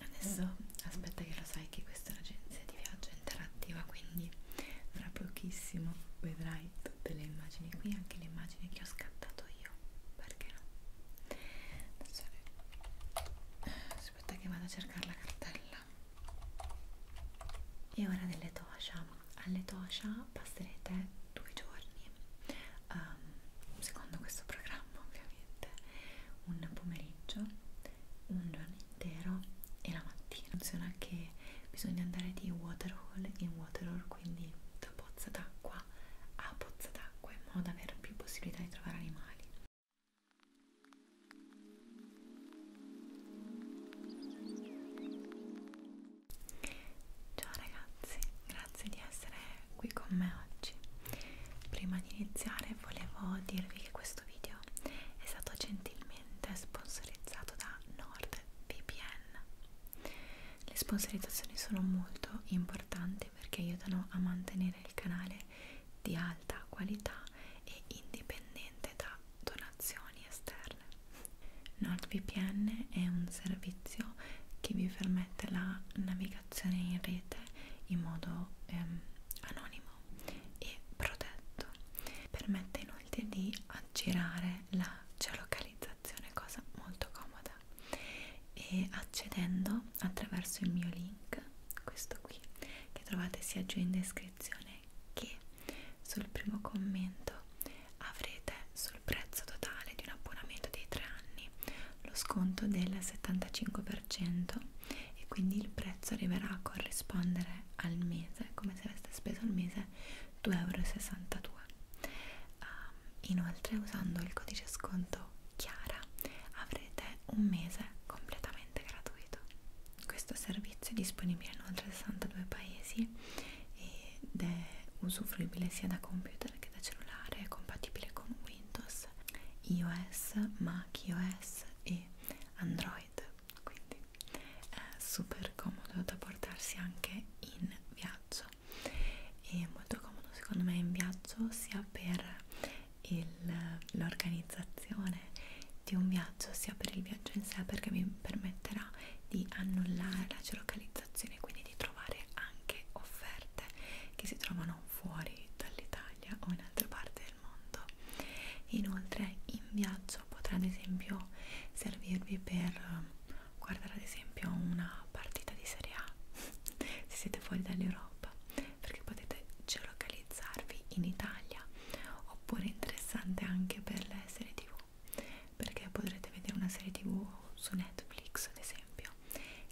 Adesso aspetta che lo sai che questa è un'agenzia di viaggio interattiva, quindi tra pochissimo vedrai tutte le immagini qui, anche le immagini che ho scattato io, perché no? Adesso aspetta che vado a cercare la cartella. E ora delle tosha. Alle tosha passerete due giorni um, secondo questo programma ovviamente un pomeriggio, un giorno intero e la mattina funziona che bisogna andare di waterhole in waterhole quindi da pozza d'acqua a pozza d'acqua in modo da avere più possibilità di trovare animali Ciao ragazzi, grazie di essere qui con me oggi. Prima di iniziare volevo dirvi che questo video è stato gentilmente sponsorizzato da NordVPN. Le sponsorizzazioni sono molto importanti perché aiutano a mantenere il canale di alta qualità e indipendente da donazioni esterne. NordVPN è un servizio che vi permette la navigazione comunicazione in rete in modo ehm, anonimo e protetto. Permette inoltre di aggirare la geolocalizzazione, cosa molto comoda, e accedendo attraverso il mio link, questo qui, che trovate sia giù in descrizione che sul primo commento avrete sul prezzo totale di un abbonamento dei tre anni lo sconto del 75% e quindi il prezzo arriverà a corrispondere al mese come se aveste speso al mese 2,62 euro uh, inoltre usando il codice sconto Chiara avrete un mese completamente gratuito questo servizio è disponibile in oltre 62 paesi ed è usufruibile sia da computer che da cellulare è compatibile con Windows, iOS, macOS e Android, quindi è super comodo da portarsi anche in viaggio e molto comodo secondo me in viaggio sia per l'organizzazione di un viaggio sia per il viaggio in sé perché mi permetterà di annullare la geolocalizzazione quindi di trovare anche offerte che si trovano fuori dall'Italia o in altre parti del mondo. Inoltre in viaggio potrà ad esempio servirvi per eh, guardare ad esempio una partita di Serie A se siete fuori dall'Europa perché potete geolocalizzarvi in Italia oppure interessante anche per le serie tv perché potrete vedere una serie tv su Netflix ad esempio esempio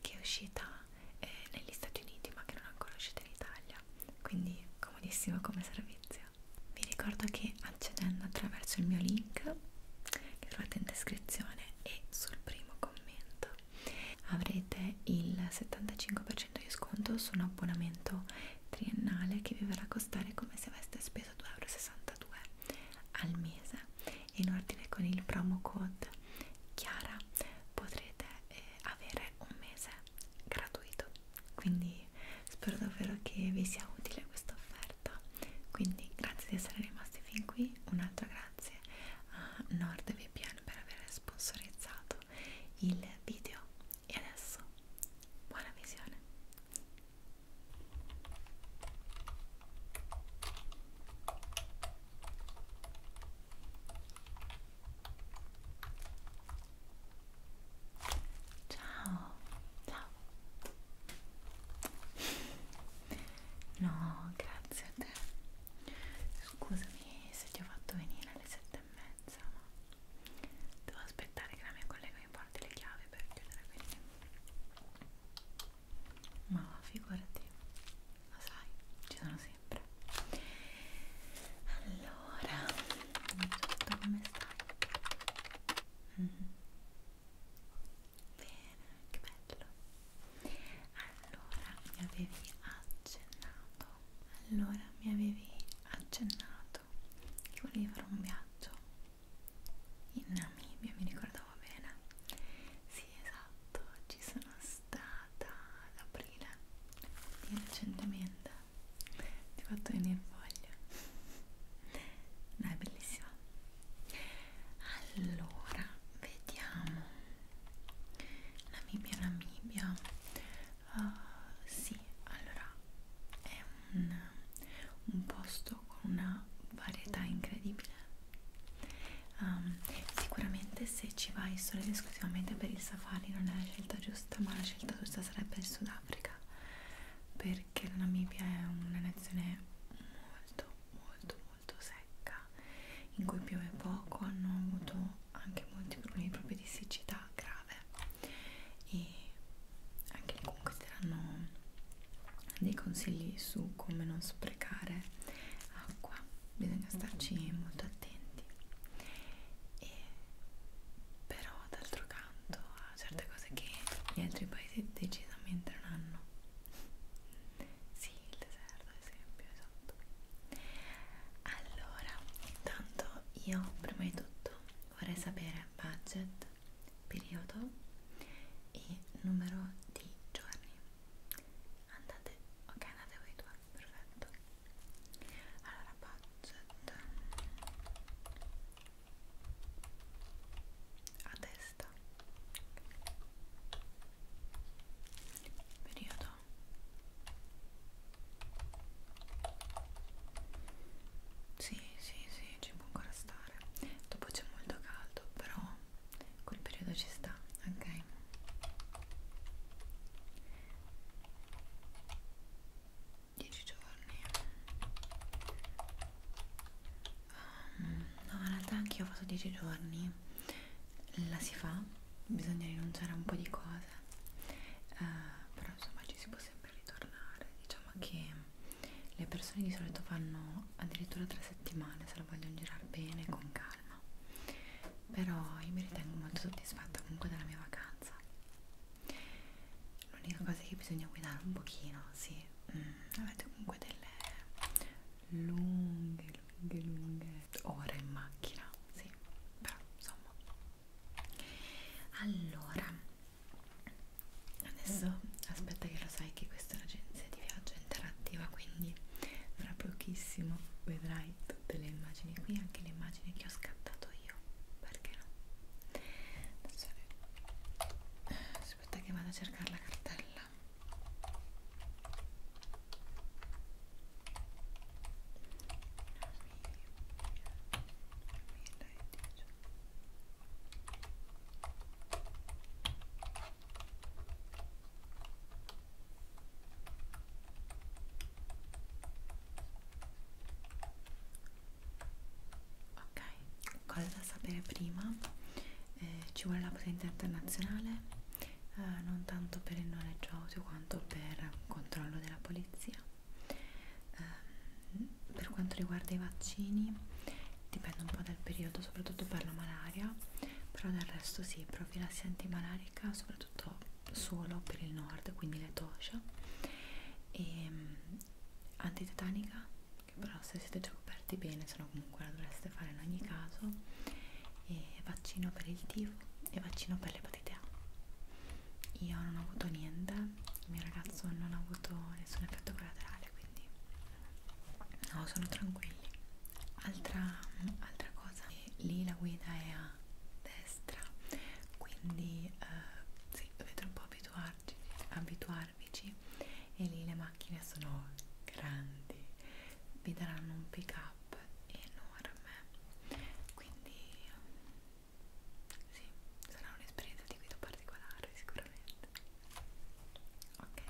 che è uscita eh, negli Stati Uniti ma che non è ancora uscita in Italia quindi comodissimo come servizio vi ricordo che accedendo attraverso il mio link che trovate in descrizione e sul primo commento avrete il 75% di sconto su un abbonamento triennale che vi verrà a costare come se aveste speso 2,62 euro al mese in ordine con il promo code Chiara potrete eh, avere un mese gratuito quindi spero davvero che vi sia utile questa offerta quindi grazie di essere rimasti fin qui un altro grazie a NordVPN per aver sponsorizzato il video e adesso buona visione Ciao, ciao. No, grazie a te. Scusami se ti ho fatto venire alle sette e mezza, ma devo aspettare che la mia collega mi porti le chiavi per chiudere quindi ma figurati lo sai ci sono sempre allora tutto come stai? Mm -hmm. bene che bello allora mi avevi accennato allora mi avevi accennato che volevi fare un viaggio in Namibia mi ricordavo bene sì esatto, ci sono stata ad aprile di recentemente ti ho fatto venire voglia no, è bellissima allora, vediamo Namibia, Namibia uh, sì, allora è un, un posto prodotto con una varietà incredibile um, sicuramente se ci vai solo ed esclusivamente per il safari non è la scelta giusta ma la scelta giusta sarebbe il Sudafrica perché la Namibia è una nazione molto molto molto secca in cui piove poco hanno avuto anche molti problemi proprio di siccità grave e anche lì comunque saranno dei consigli su come non sprecare acqua bisogna starci molto attenti e però d'altro canto ha certe cose che gli altri paesi decisamente non hanno sì il deserto ad esempio esatto allora intanto io prima di tutto vorrei sapere budget periodo e numero di giorni andate ok andate voi due perfetto allora budget a testa periodo sì sì sì ci può ancora stare dopo c'è molto caldo però quel periodo ci sta, ok? Dieci giorni um, no in realtà anche io ho fatto dieci giorni la si fa bisogna rinunciare a un po' di cose uh, però insomma ci si può sempre ritornare diciamo che le persone di solito fanno addirittura tre settimane se la vogliono girare bene con calma però io mi ritengo molto soddisfatta comunque della mia vacanza l'unica cosa è che bisogna guidare un pochino sì mm, avete comunque delle lunghe lunghe lunghe ore in macchina sì però insomma allora adesso aspetta che lo sai che questa è un'agenzia di viaggio interattiva quindi fra pochissimo vedrai tutte le immagini qui anche le immagini che ho scattato io perché no adesso, aspetta che vado a cercare la cartella Ok, cosa da sapere prima? Eh, ci vuole la potenza internazionale, eh, non tanto per il noleggio auto quanto per il controllo della polizia. Eh, per quanto riguarda i vaccini, dipende un po' dal periodo, soprattutto per la malaria, però del resto sì, profilassi antimalarica soprattutto solo per il nord, quindi le toscia e ehm, antitetanica, che però se siete già coperti bene, se no comunque la dovreste fare in ogni caso, e vaccino per il tifo e vaccino per l'epatite A. Io non ho avuto niente, il mio ragazzo non ha avuto nessun effetto collaterale, quindi no sono tranquilli altra, altra cosa eh, lì la guida è a destra quindi eh, sì, dovete un po' abituarci, abituarvici e lì le macchine sono grandi vi daranno un pick up enorme quindi sì sarà un'esperienza di guida particolare sicuramente ok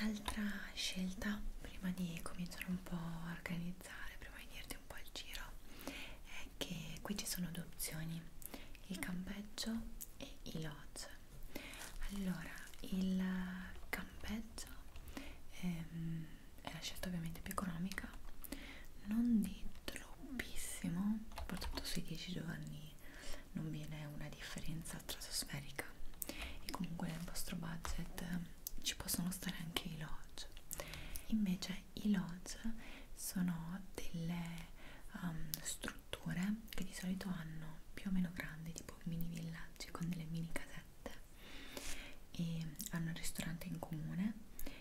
altra scelta prima di cominciare un po' a organizzare prima di dirti un po' il giro è che qui ci sono due opzioni il campeggio e i lodge allora il campeggio ehm, è la scelta ovviamente più economica non di troppo pochissimo soprattutto sui 10 giorni non viene una differenza stratosferica e comunque nel vostro budget ci possono stare anche i lodge invece i lodge sono delle um, strutture che di solito hanno più o meno grandi tipo mini villaggi con delle mini casette e hanno un ristorante in comune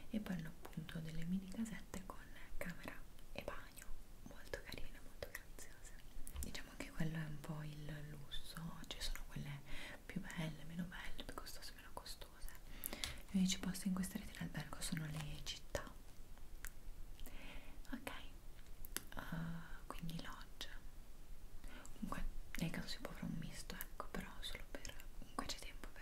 e poi hanno appunto delle mini casette con con camera e bagno molto carine, molto graziose diciamo che quello è un po' il lusso ci sono quelle più belle, meno belle, più costose, meno costose gli unici posti in cui starete in albergo sono le città ok uh, quindi lodge comunque nel caso si può fare un misto ecco però solo per comunque c'è tempo per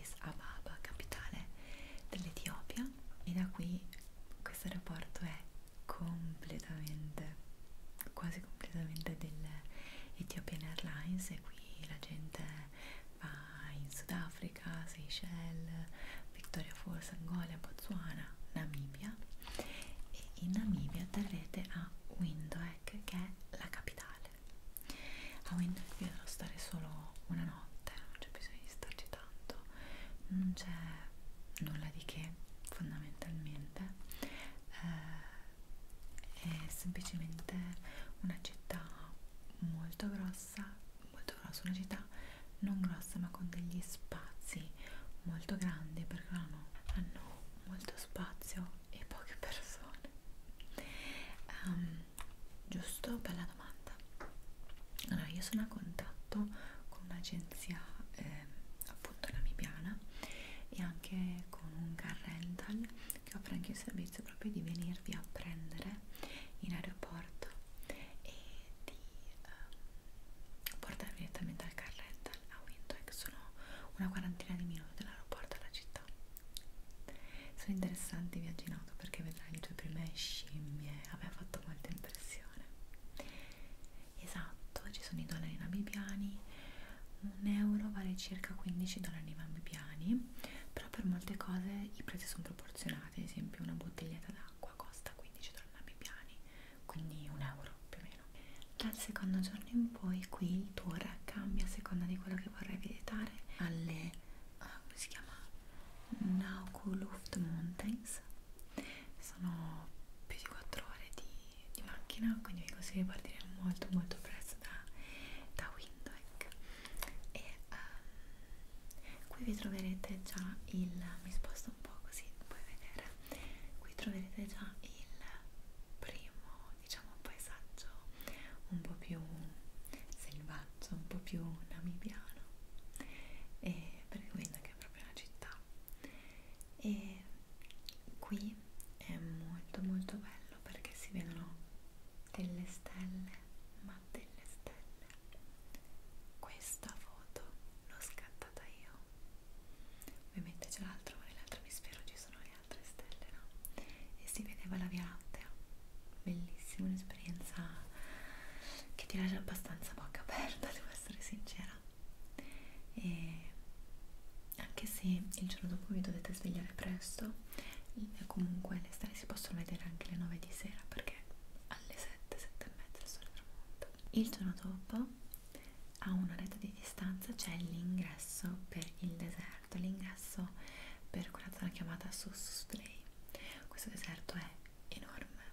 Addis Ababa, capitale dell'Etiopia e da qui questo aeroporto è completamente, quasi completamente dell'Ethiopian Airlines e qui la gente va in Sudafrica, Seychelles, Victoria Falls, Angola, Botswana, Namibia e in Namibia terrete a Windhoek che è la capitale a ah, Windows vi dovrò stare solo una notte non c'è bisogno di starci tanto non c'è nulla di che fondamentalmente eh, è semplicemente una città molto grossa molto grossa una città non grossa ma con degli spazi molto grandi perché hanno, hanno molto spazio e poche persone um, giusto? bella domanda allora io sono a contatto con un'agenzia eh, appunto namibiana e anche con un car rental che offre anche il servizio proprio di venirvi a prendere in aeroporto e di um, ehm, portarvi direttamente al car rental a ah, Windhoek ecco, sono una quarantina di minuti dall'aeroporto alla città sono interessanti i viaggi in auto perché vedrai le tue prime scimmie, aveva fatto molta impressione. Esatto, ci sono i dollari namibiani, un euro vale circa 15 dollari namibiani, però per molte cose i prezzi sono proporzionati, ad esempio una bottiglietta d'acqua costa 15 dollari namibiani, quindi un euro più o meno. Dal secondo giorno in poi qui il tuo ora cambia a seconda di quello che vorrai visitare alle uh, come si chiama Nauku Luft Mountains sono più di 4 ore di, di macchina quindi vi consiglio di partire molto molto presto da, da Windhoek e um, qui vi troverete già il mi sposto un po' così puoi vedere qui troverete già il primo diciamo un paesaggio un po' più selvaggio, un po' più namibiano e perché quella che è proprio una città e qui è molto molto bello perché si vedono delle stelle ma delle stelle questa foto l'ho scattata io ovviamente c'è l'altro ma nell'altro emisfero ci sono le altre stelle no? e si vedeva la Via Lattea bellissima un'esperienza che ti lascia abbastanza bocca aperta devo essere sincera e anche se il giorno dopo vi dovete svegliare presto eh, comunque le stelle si possono vedere anche alle 9 di sera perché alle 7, 7 e mezza il sole tramonta il giorno dopo a un'oretta di distanza c'è l'ingresso per il deserto deserto all'ingresso per quella zona chiamata Sossusdrey. Questo deserto è enorme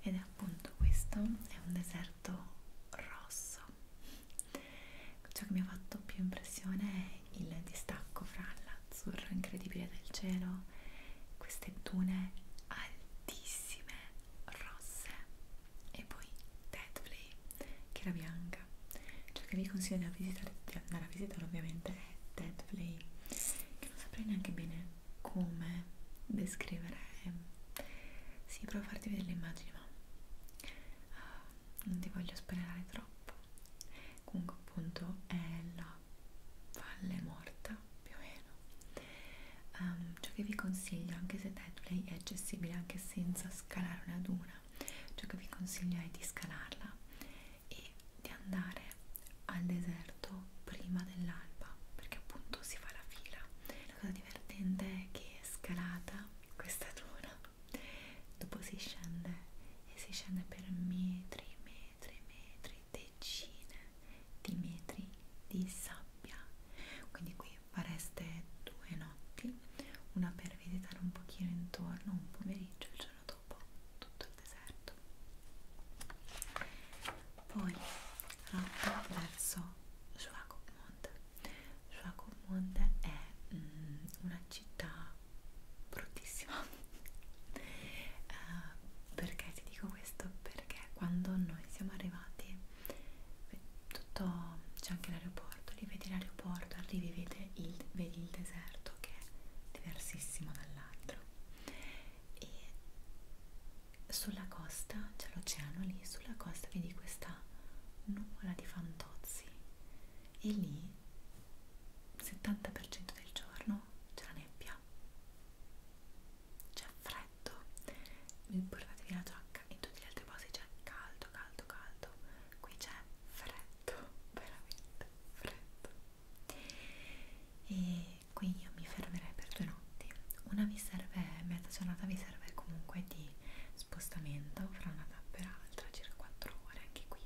ed è appunto questo, è un deserto rosso. Ciò che mi ha fatto più impressione è il distacco fra l'azzurro incredibile del cielo, queste dune altissime rosse e poi Tetley che era bianca bianca ciò che vi consiglio di, visitare, di andare a visitare ovviamente è Ted Play che non saprei neanche bene come descrivere sì, provo a farti vedere le immagini ma uh, non ti voglio spoilerare troppo comunque appunto è la valle morta più o meno um, ciò che vi consiglio anche se Deadplay è accessibile anche senza scalare una duna ciò che vi consiglio è di scalarla e di andare al deserto prima dell'alba perché appunto si fa la fila la cosa divertente è che scalata questa duna dopo si scende e si scende per metri metri metri decine di metri di sabbia quindi qui fareste due notti, una per visitare un pochino intorno, un pomeriggio, il giorno dopo tutto il deserto. Poi rotta verso Schwagmund. Schwagmund è mm, una città bruttissima. uh, perché ti dico questo? Perché quando noi siamo arrivati tutto c'è anche l'aeroporto l'aeroporto, li vedi l'aeroporto, arrivi vedi il, vedi il deserto che è diversissimo dall'altro e sulla costa c'è l'oceano lì, sulla costa vedi questa nuvola di fantozzi e lì 70% del giorno c'è la nebbia c'è freddo, vi portatevi la giacca in tutti gli altri posti c'è caldo, caldo, caldo, qui c'è freddo, veramente freddo. E qui io mi fermerei per due notti. Una vi serve, mezza giornata vi serve comunque di spostamento fra una tappa e l'altra, circa 4 ore anche qui.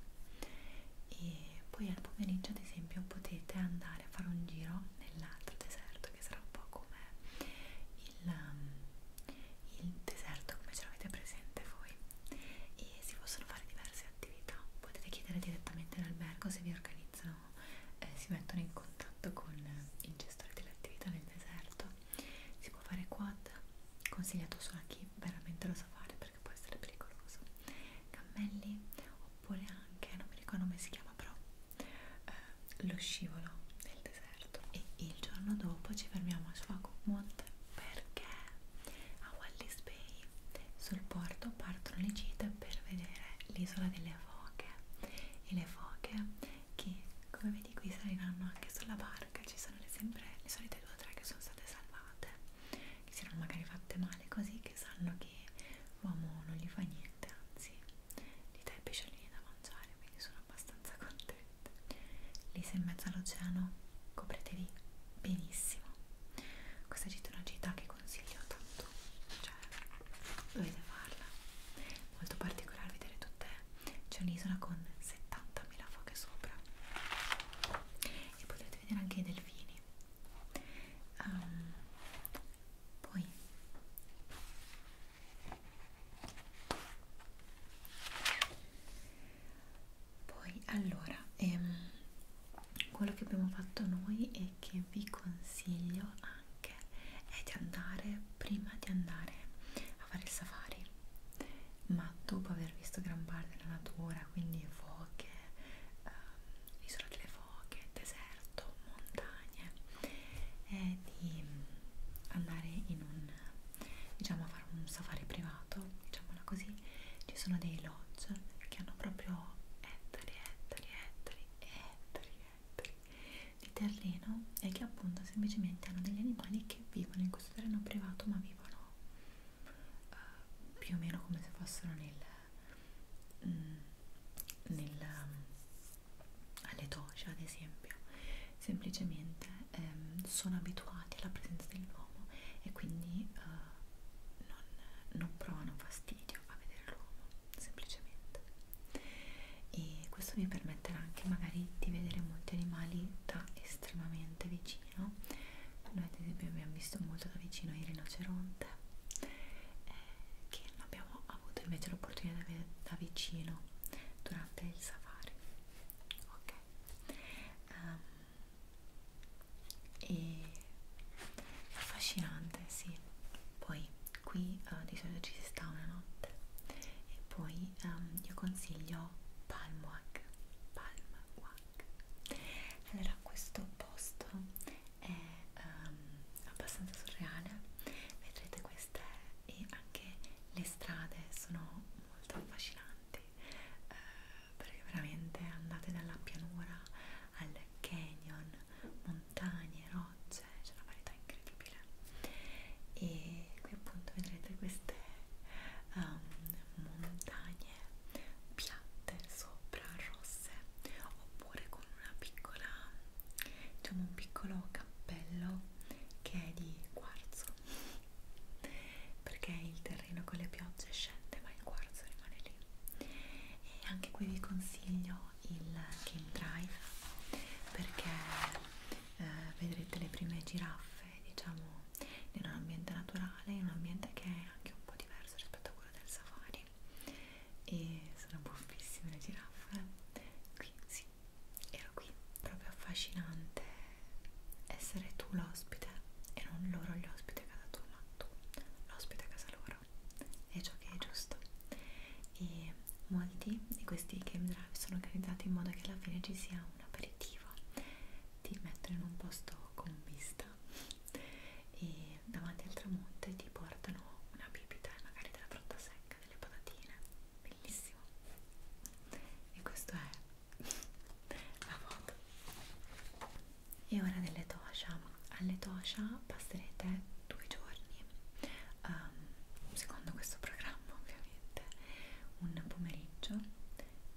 E poi al pomeriggio, ad esempio, potete andare a fare un giro nell'altro deserto che sarà un po' come il um, il deserto come ce l'avete presente voi e si possono fare diverse attività potete chiedere direttamente all'albergo se vi organizzano eh, si mettono in contatto con il gestore dell'attività nel deserto si può fare quad consigliato solo a chi veramente lo sa fare perché può essere pericoloso cammelli oppure anche non mi ricordo come si chiama però eh, lo scivolo nel deserto aperto e il giorno dopo ci fermiamo a Schwakumont perché a Wallis Bay sul porto partono le gite per vedere l'isola delle foche e le foche che come vedi qui saliranno anche sulla barca ci sono le, sempre le solite due o tre che sono state salvate che si erano magari fatte male così che sanno che l'uomo non gli fa niente anzi gli dà il pesciolini da mangiare quindi sono abbastanza contenta lì sei in mezzo all'oceano copretevi benissimo questa è una gita che consiglio tanto cioè dovete farla molto particolare vedere tutte c'è un'isola con 70.000 foche sopra e potete vedere anche i delfini um, poi poi allora ehm, quello che abbiamo fatto noi e che vi consiglio anche è di andare prima di andare a fare il safari ma dopo aver visto gran parte della natura quindi foche ehm, isola delle foche deserto montagne è di andare in un diciamo a fare un safari privato, diciamola così, ci sono dei lodge che hanno proprio ettari, ettari, ettari, ettari, ettari di terreno e che appunto semplicemente hanno degli animali che vivono in questo terreno privato ma vivono uh, più o meno come se fossero nel, mm, nel um, alle docce ad esempio semplicemente ehm, sono abituati alla presenza dell'uomo e quindi eh, non, non provano fastidio a vedere l'uomo, semplicemente. E questo mi permetterà anche magari di vedere molti animali da estremamente vicino. Noi ad esempio abbiamo visto molto da vicino il rinoceronte, eh, che non abbiamo avuto invece l'opportunità di vedere da vicino durante il safari ok um, e affascinante sì poi qui uh, di solito ci si sta una notte e poi um, io consiglio Palmwag Palmwag allora questo posto è um, abbastanza surreale vedrete qui queste e anche le strade sono molto affascinanti eh, perché veramente andate dalla pianura al canyon, montagne, rocce, c'è una varietà incredibile e qui appunto vedrete queste um, montagne piatte sopra rosse oppure con una piccola diciamo un piccolo cappello che è di quarzo perché il terreno con le piogge scende ma il quarzo rimane lì e anche qui vi consiglio il Game Drive perché eh, vedrete le prime giraffe diciamo in un ambiente naturale in un ambiente che è anche un po' diverso rispetto a quello del safari e sono buffissime le giraffe qui si ero qui, proprio affascinante essere tu l'ospite e non loro gli ospiti a casa tua, ma tu l'ospite a casa loro, è ciò che è giusto. E molti di questi game drive sono organizzati in modo che alla fine ci sia un aperitivo, ti mettono in un posto con vista e davanti al tramonto ti portano una bibita e magari della frutta secca, delle patatine bellissimo e questo è la foto e ora delle tosha alle tosha passerete due giorni um, secondo questo programma ovviamente un pomeriggio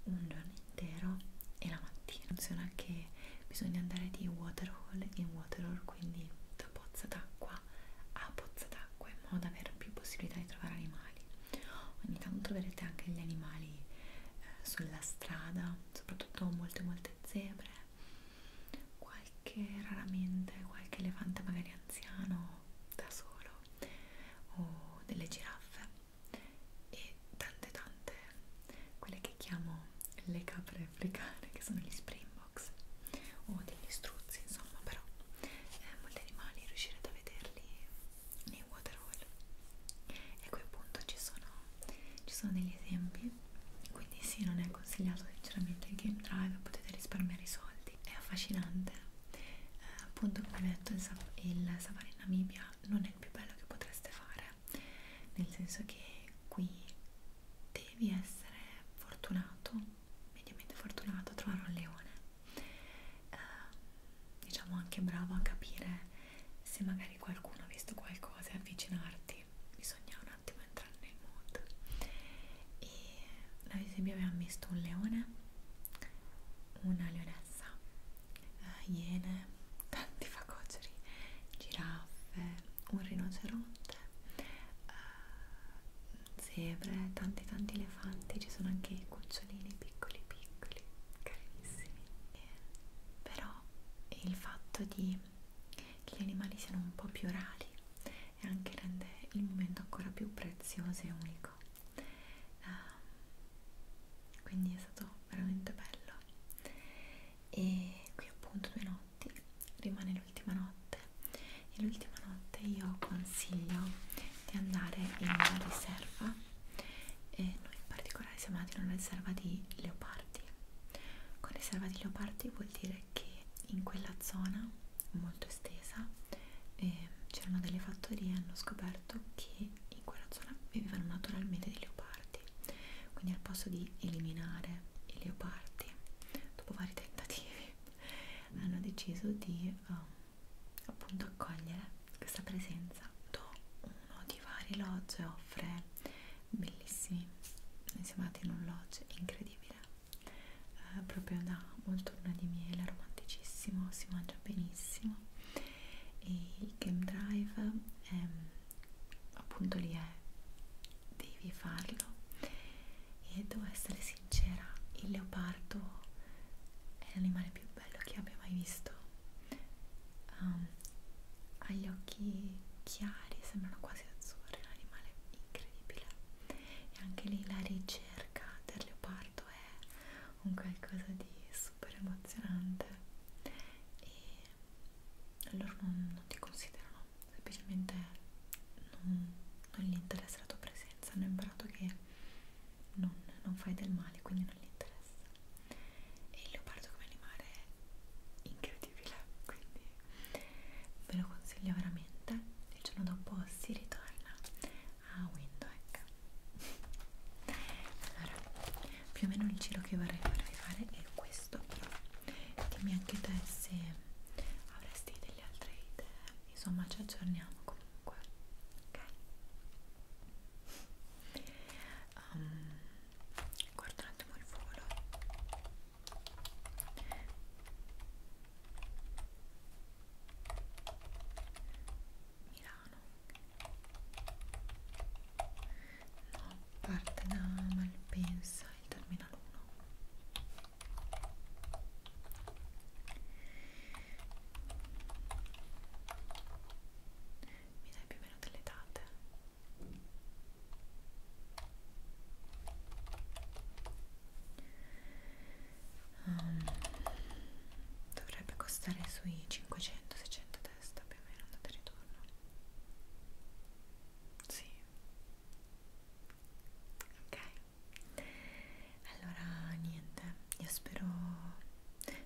un giorno intero e la mattina funziona che bisogna andare di waterhole in waterhole quindi da pozza d'acqua a pozza d'acqua in modo da avere più possibilità di trovare animali. Ogni tanto troverete anche gli animali eh, sulla strada, soprattutto molte molte zebre, qualche raramente qualche elefante magari anziano da solo o delle giraffe e tante tante quelle che chiamo le capre africane che sono gli springboks box o degli struzzi insomma però eh, molti animali riuscirete a vederli nei waterhole e a quel punto ci sono, ci sono degli esempi quindi sì non è consigliato sinceramente il game drive potete risparmiare i soldi è affascinante eh, appunto come detto il, il safari in Namibia non è il più bello che potreste fare nel senso che qui devi essere fortunato mediamente fortunato a trovare un leone eh, diciamo anche bravo a capire se magari qualcuno ha visto qualcosa e avvicinarti bisogna un attimo entrare nel mood e ad esempio abbiamo visto un leone una leonessa eh, iene tanti facoceri giraffe un rinoceronte eh, zebre, tanti tanti elefanti, ci sono anche i cucciolini piccoli piccoli, carissimi. E, eh, però il fatto di, che gli animali siano un po' più rari e anche rende il momento ancora più prezioso e unico. Uh, quindi è stato veramente bello. E qui appunto due notti, rimane l'ultima notte e l'ultima notte io consiglio di andare in una riserva e noi in particolare siamo andati in una riserva di leopardi con riserva di leopardi vuol dire che in quella zona molto estesa eh, c'erano delle fattorie e hanno scoperto che in quella zona vivevano naturalmente dei leopardi quindi al posto di eliminare i leopardi dopo vari tentativi hanno deciso di uh, appunto accogliere questa presenza. Uno di vari lodge offre bellissimi, noi siamo andati in un lodge incredibile, eh, proprio da molto luna di miele, romanticissimo, si mangia benissimo e il game drive è, ehm, appunto lì è, devi farlo e devo essere sincera, il leopardo è l'animale più bello che abbia mai visto. Um, ha gli occhi chiari, sembrano quasi azzurri, è un animale incredibile. E anche lì la ricerca del leopardo è un qualcosa di super emozionante. E loro non, non ti considerano semplicemente non, non gli interessa la tua presenza, hanno imparato che non, non fai del male, quindi non gli interessa. E il leopardo come animale è incredibile, quindi ve lo consiglio veramente. Il giorno dopo si ritorna a Windhoek. Allora, più o meno il giro che vorrei farvi fare è questo, però dimmi anche te se avresti delle altre idee insomma ci aggiorniamo comunque ok um, ehm, guardo un attimo il volo Milano no, parte da Malpensa il terminal 1 mi dai più o meno delle date? Um, dovrebbe costare sui 500-600 testa più o meno andata e ritorno. Sì. Ok allora niente io spero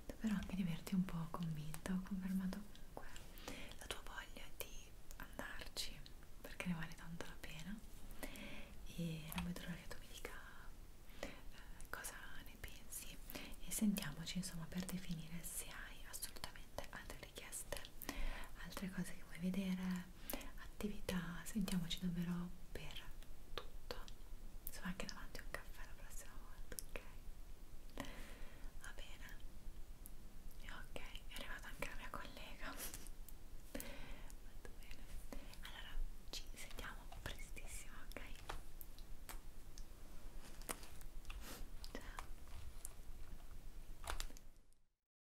davvero anche di averti un po' convinta ho confermato comunque la tua voglia di andarci perché ne vale tanto la pena e non vedo l'ora che tu mi dica eh, cosa ne pensi e sentiamoci insomma per definire se hai assolutamente altre richieste altre cose che vuoi vedere attività, sentiamoci davvero per tutto. Sono anche davanti a un caffè la prossima volta, ok? Va bene. E ok, è arrivata anche la mia collega. Molto bene. Allora, ci sentiamo prestissimo, ok? Ciao.